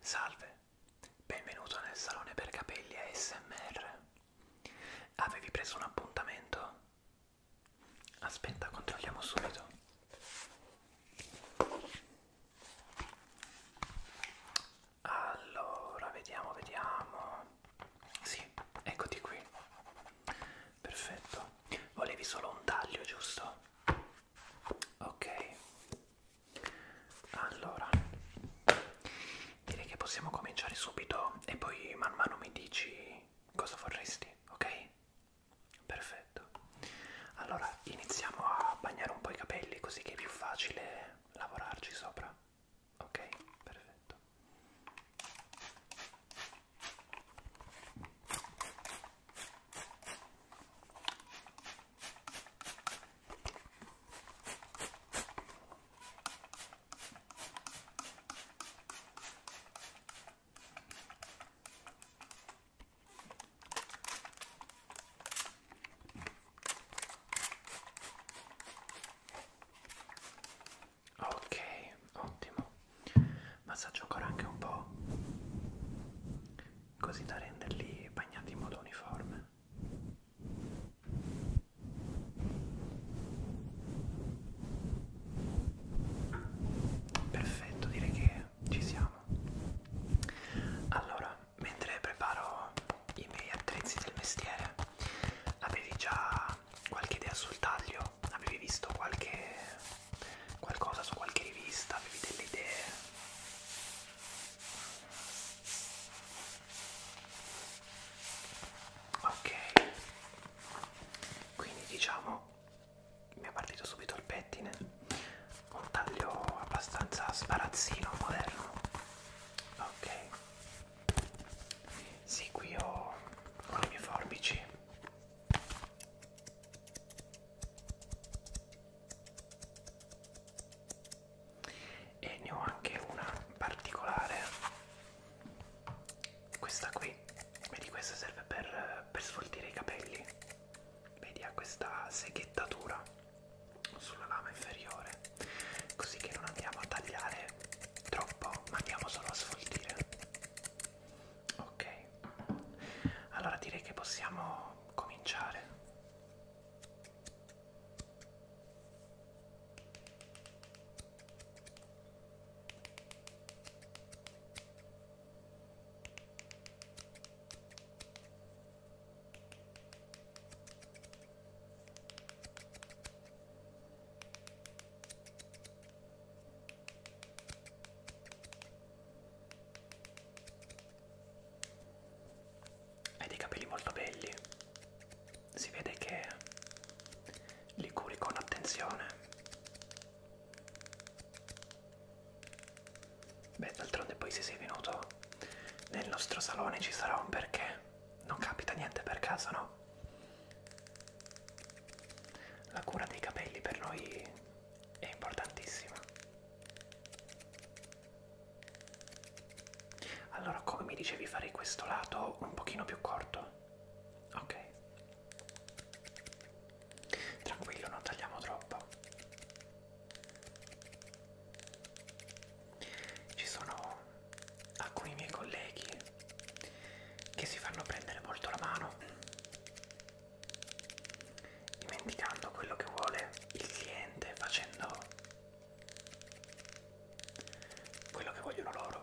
Salve, benvenuto nel salone per capelli ASMR. Avevi preso un appuntamento? Aspetta, controlliamo subito. Allora, vediamo, vediamo. Sì, eccoti qui. Perfetto. Volevi solo un taglio, giusto? Ok. Allora, direi che possiamo cominciare subito e poi man mano mi dici cosa vorresti, ok? Perfetto. Allora, iniziamo a bagnare un po' i capelli così che è più facile lavorarci sopra. Ok, perfetto. Ok, ottimo. Massaggio ancora anche un po' così da renderli bagnati in modo uniforme. Perfetto, direi che ci siamo. Allora, mentre preparo i miei attrezzi del mestiere, avevi già qualche idea sul taglio? Avevi visto qualche qualcosa su qualche rivista, avevi delle idee. Ok, quindi diciamo mi è partito subito il pettine, un taglio abbastanza sparazzino, moderno. Ok, sì, qui ho, ho le mie forbici e ne ho anche una particolare questa qui vedi questa serve per, per sfoltire i capelli vedi ha questa seghettatura sulla lama inferiore così che non andiamo a tagliare troppo ma andiamo solo a sfoltire Ok, allora direi che possiamo cominciare. Hai dei capelli molto belli, si vede che li curi con attenzione. Beh, d'altronde poi se sei venuto nel nostro salone ci sarà un perché. Non capita niente per caso, no? La cura dei capelli per noi è importantissima. Allora, come mi dicevi, farei questo lato un pochino più corto. Ok. Tranquillo, non tagliamo troppo. Ci sono alcuni miei colleghi che si fanno prendere molto la mano dimenticando quello che vuole il cliente, facendo quello che vogliono loro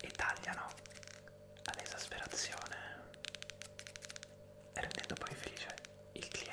e tagliano all'esasperazione rendendo poi felice il cliente.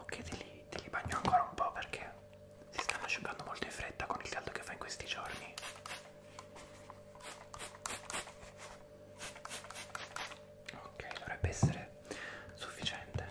Ok, te li, te li bagno ancora un po' perché si stanno asciugando molto in fretta con il caldo che fa in questi giorni. Ok, dovrebbe essere sufficiente.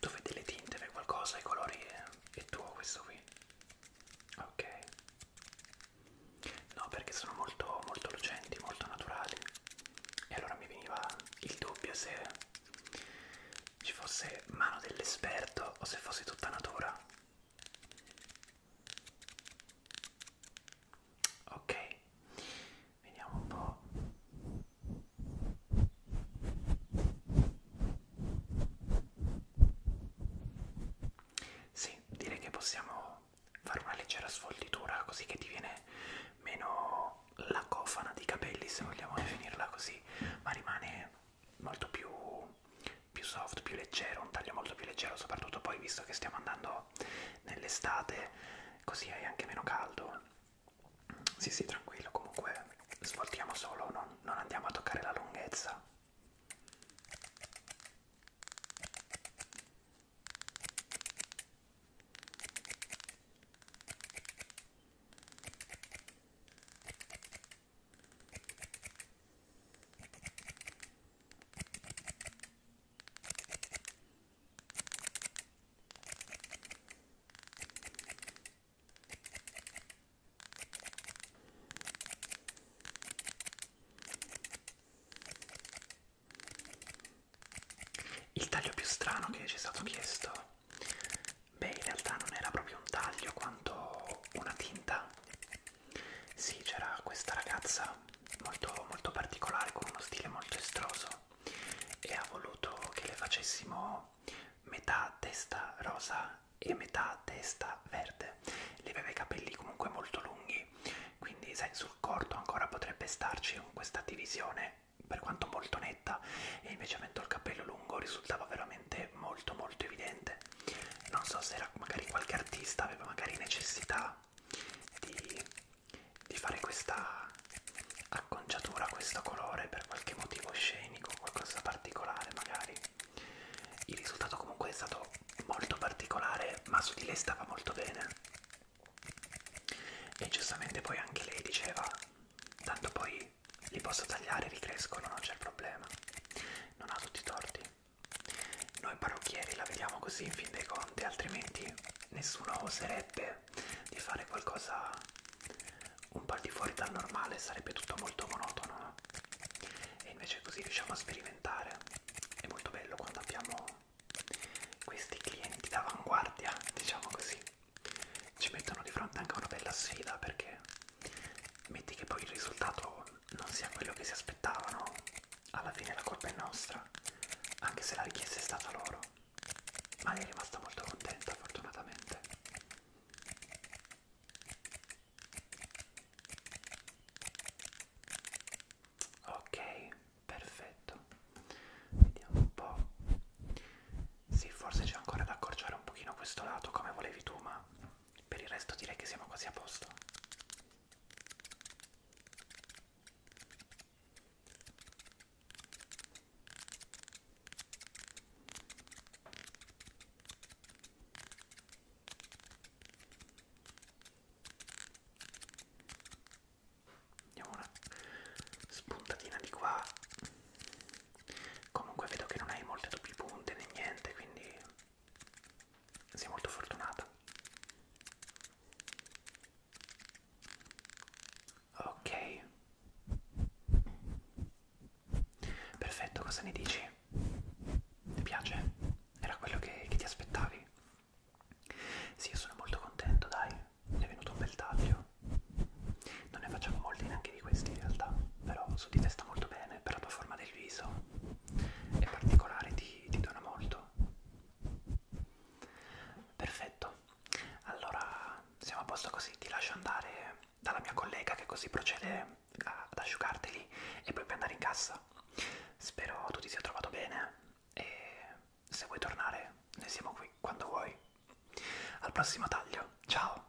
Tu vedi le tinte per qualcosa, i colori eh? è tuo questo qui? Ok. No, perché sono molto, molto lucenti, molto naturali. E allora mi veniva il dubbio se ci fosse mano dell'esperto o se fosse tutta natura ok vediamo un po' sì direi che possiamo fare una leggera sfoltitura così che ti viene meno la cofana di capelli se vogliamo definirla così ma rimane molto più più soft, più leggero, un taglio molto più leggero, soprattutto poi visto che stiamo andando nell'estate, così è anche meno caldo. Sì, sì, tranquillo, comunque svoltiamo solo, non, non andiamo a toccare la lunghezza. Il taglio più strano che ci è stato chiesto, beh in realtà non era proprio un taglio quanto una tinta sì, c'era questa ragazza molto, molto particolare, con uno stile molto estroso e ha voluto che le facessimo metà testa rosa e metà testa verde. Lei aveva i capelli comunque molto lunghi, quindi sai, sul corto ancora potrebbe starci con questa divisione per quanto molto netta e invece avendo il capello lungo risultava veramente molto molto evidente non so se era magari qualche artista aveva magari necessità di, di fare questa acconciatura, questo colore per qualche motivo scenico, qualcosa particolare magari. Il risultato comunque è stato molto particolare, ma su di lei stava molto bene. E giustamente poi anche lei diceva, tanto poi li posso tagliare, ricrescono, non c'è problema. Non ha tutti i torti. Noi parrucchieri la vediamo così in fin dei conti, altrimenti nessuno oserebbe di fare qualcosa un po' di fuori dal normale, sarebbe tutto molto monotono. No? E invece così riusciamo a sperimentare. È molto bello quando abbiamo questi clienti d'avanguardia, diciamo così. Ci mettono di fronte anche una bella sfida perché metti che poi il risultato non sia quello che si aspettavano, alla fine la colpa è nostra, anche se la richiesta è stata loro. Ma è rimasta molto contenta, fortunatamente. Ok, perfetto. Vediamo un po'. Sì, forse c'è ancora da accorciare un pochino questo lato come volevi tu, ma per il resto direi che siamo quasi a posto. Andiamo una spuntatina di qua. Comunque vedo che non hai molte doppie punte né niente, quindi sei molto fortunata ok perfetto cosa ne dici ti piace era quello che, che ti aspettavi sì io sono molto contento dai è venuto un bel taglio non ne facciamo molti neanche di questi in realtà però su di te sta molto bene bene per la tua forma del viso e particolare ti, ti dona molto perfetto allora siamo a posto così ti lascio andare dalla mia collega che così procede a, ad asciugarteli e poi puoi andare in cassa spero tu ti sia trovato bene e se vuoi tornare noi siamo qui quando vuoi al prossimo taglio ciao